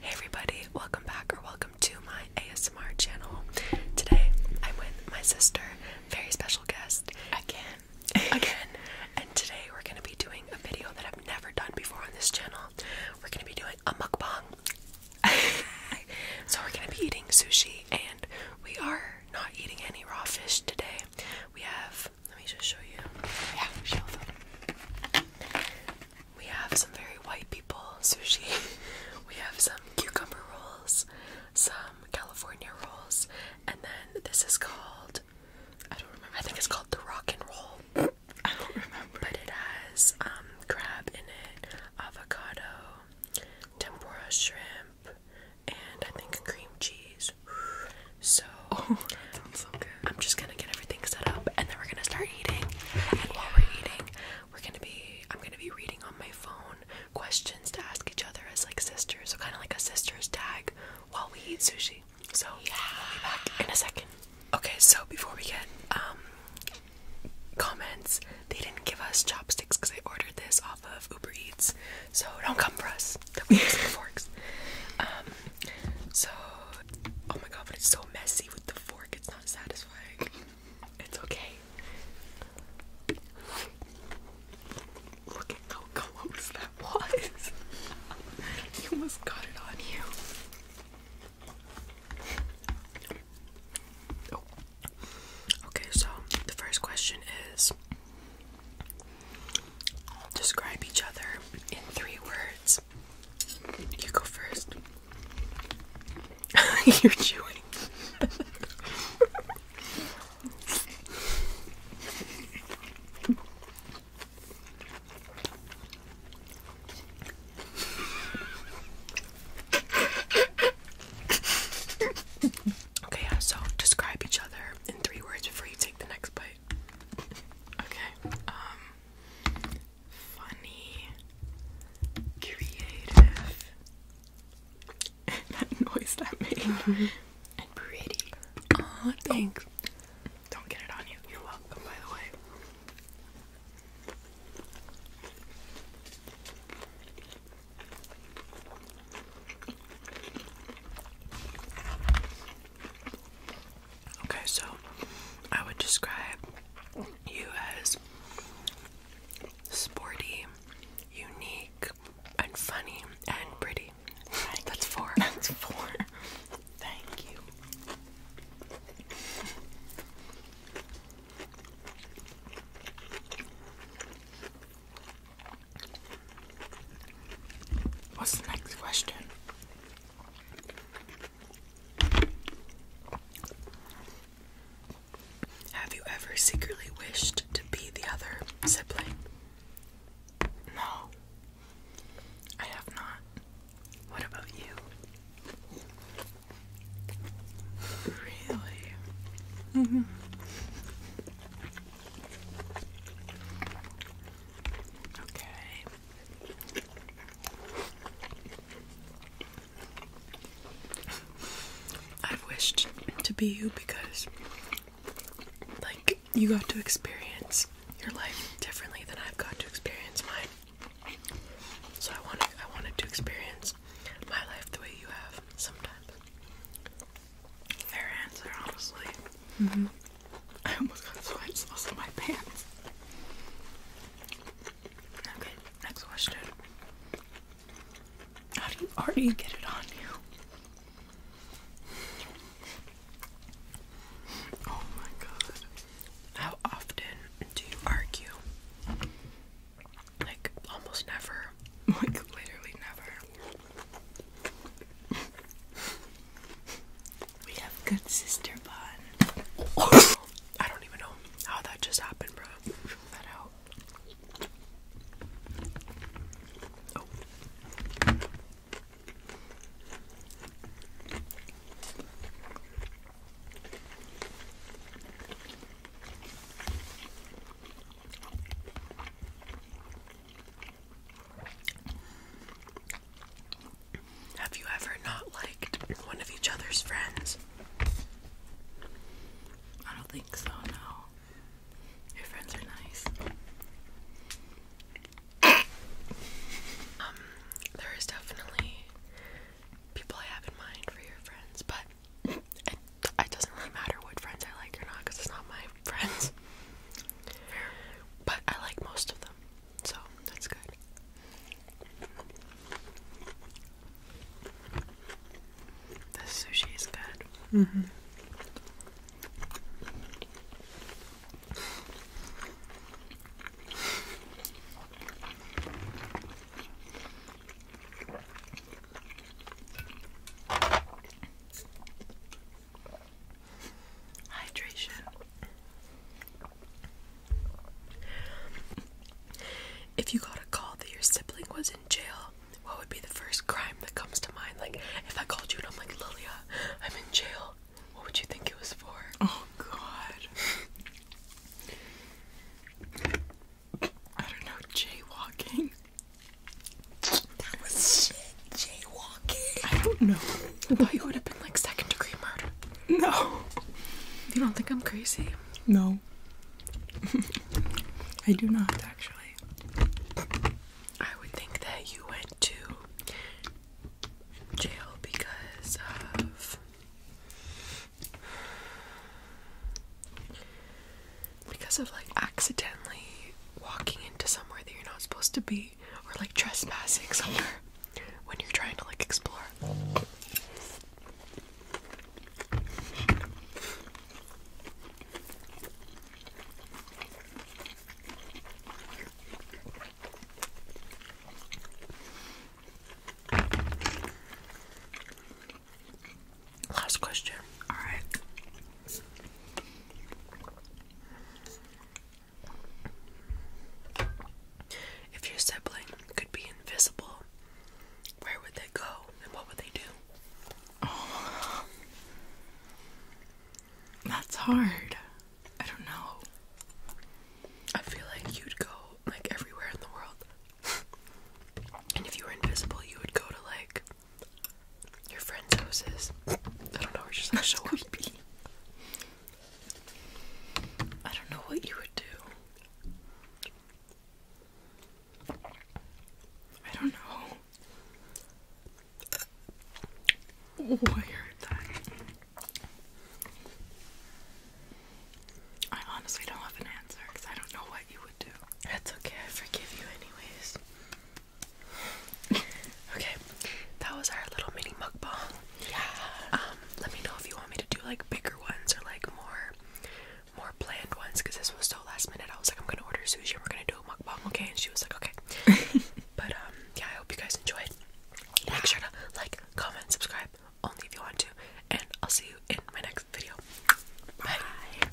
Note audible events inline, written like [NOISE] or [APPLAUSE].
Hey everybody, welcome back or welcome to my ASMR channel. Today I'm with my sister, very special guest, again, again, and today we're going to be doing a video that I've never done before on this channel. We're going to be doing a mukbang. so we're going to be eating sushi and we are not eating any raw fish today. We have, let me just show you. Yeah, show them. We have some very white people sushi. [LAUGHS] We have some cucumber rolls, some California rolls, and then this is called I don't remember. I think it's called the rock and roll. [LAUGHS] I don't remember. But it has um crab in it, avocado, tempura shrimp, and I think cream cheese. So [LAUGHS] oh, that sounds so good. I'm just gonna get everything set up and then we're gonna start eating. And while we're eating, we're gonna be I'm gonna be reading on my phone questions to ask each other as like sisters, so kind of like a sister's tag while we eat sushi. So yeah. I'll be back in a second. Okay, so before we get um comments, they didn't give us chopsticks because I ordered this off of Uber Eats. So don't come for us. That we use forks. Um so oh my god, but it's so messy with the fork, it's not satisfying. It's okay. Look at how close that was. [LAUGHS] you almost got it on you. Oh. Okay, so the first question is describe each other in three words. You go first. [LAUGHS] You're chewing. okay, yeah, so describe each other in three words before you take the next bite. Okay, um, funny, creative. [LAUGHS] that noise that made. [LAUGHS] pretty. Oh, thanks. Don't get it on you. You're welcome, by the way. Okay, so I would describe you as sporty, unique, and funny, and pretty. That's four. That's four. Thank you. What's the next question? Have you ever secretly wished to be the other sibling? No, I have not. What about you? Really? Mm-hmm. Okay. I've wished to be you because, like, you got to experience your life differently than I've got to experience mine. So I wanted, I wanted to experience my life the way you have sometimes. Fair answer, honestly. Mm-hmm. I almost got sweat sauce in my pants. Okay, next question. How do you already get it on you? Oh my god. How often do you argue? Like, almost never. [LAUGHS] Like, literally never. We have good sister bun. I don't even know how that just happened, bro. Have you ever not liked one of each other's friends? I don't think so, no. Your friends are nice. um, there is definitely people I have in mind for your friends, but it, it doesn't really matter what friends I like or not because it's not my friends. But I like most of them, so that's good. The sushi is good. Mm-hmm. Hydration. If you got a call that your sibling was in jail, what would be the first crime that comes to mind? Like, if I called you and I'm like, Lilia, I'm in jail, what would you think it was for? Oh, God. I don't know, jaywalking. That was shit. Jaywalking. I don't know. I thought you would have been like second degree murder. No. You don't think I'm crazy? No. [LAUGHS] I do not, actually. I would think that you went to jail because of. Because of like accidentally walking into somewhere that you're not supposed to be or like trespassing somewhere when you're trying to like explore. Last question. All right. If your sibling could be invisible, where would they go and what would they do? Oh, [SIGHS] that's hard. I don't know. I feel like you'd go like everywhere in the world. [LAUGHS] and if you were invisible, you would go to like your friend's houses. I don't know, or just like show up. I don't know what you would do. I don't know. Oh, I heard that. I honestly don't have an answer because I don't know what you would do. That's okay, I forgive you, anyways. [LAUGHS] okay, that was our little mini mukbang. Yeah. Um, let me know if you want me to do like bigger ones or like more more planned ones because this was so last minute. I was like, I'm gonna order sushi and we're gonna do a mukbang, okay? And she was like, okay. [LAUGHS] but um, yeah, I hope you guys enjoyed. Make sure to like, comment, subscribe, only if you want to, and I'll see you in my next video. Bye.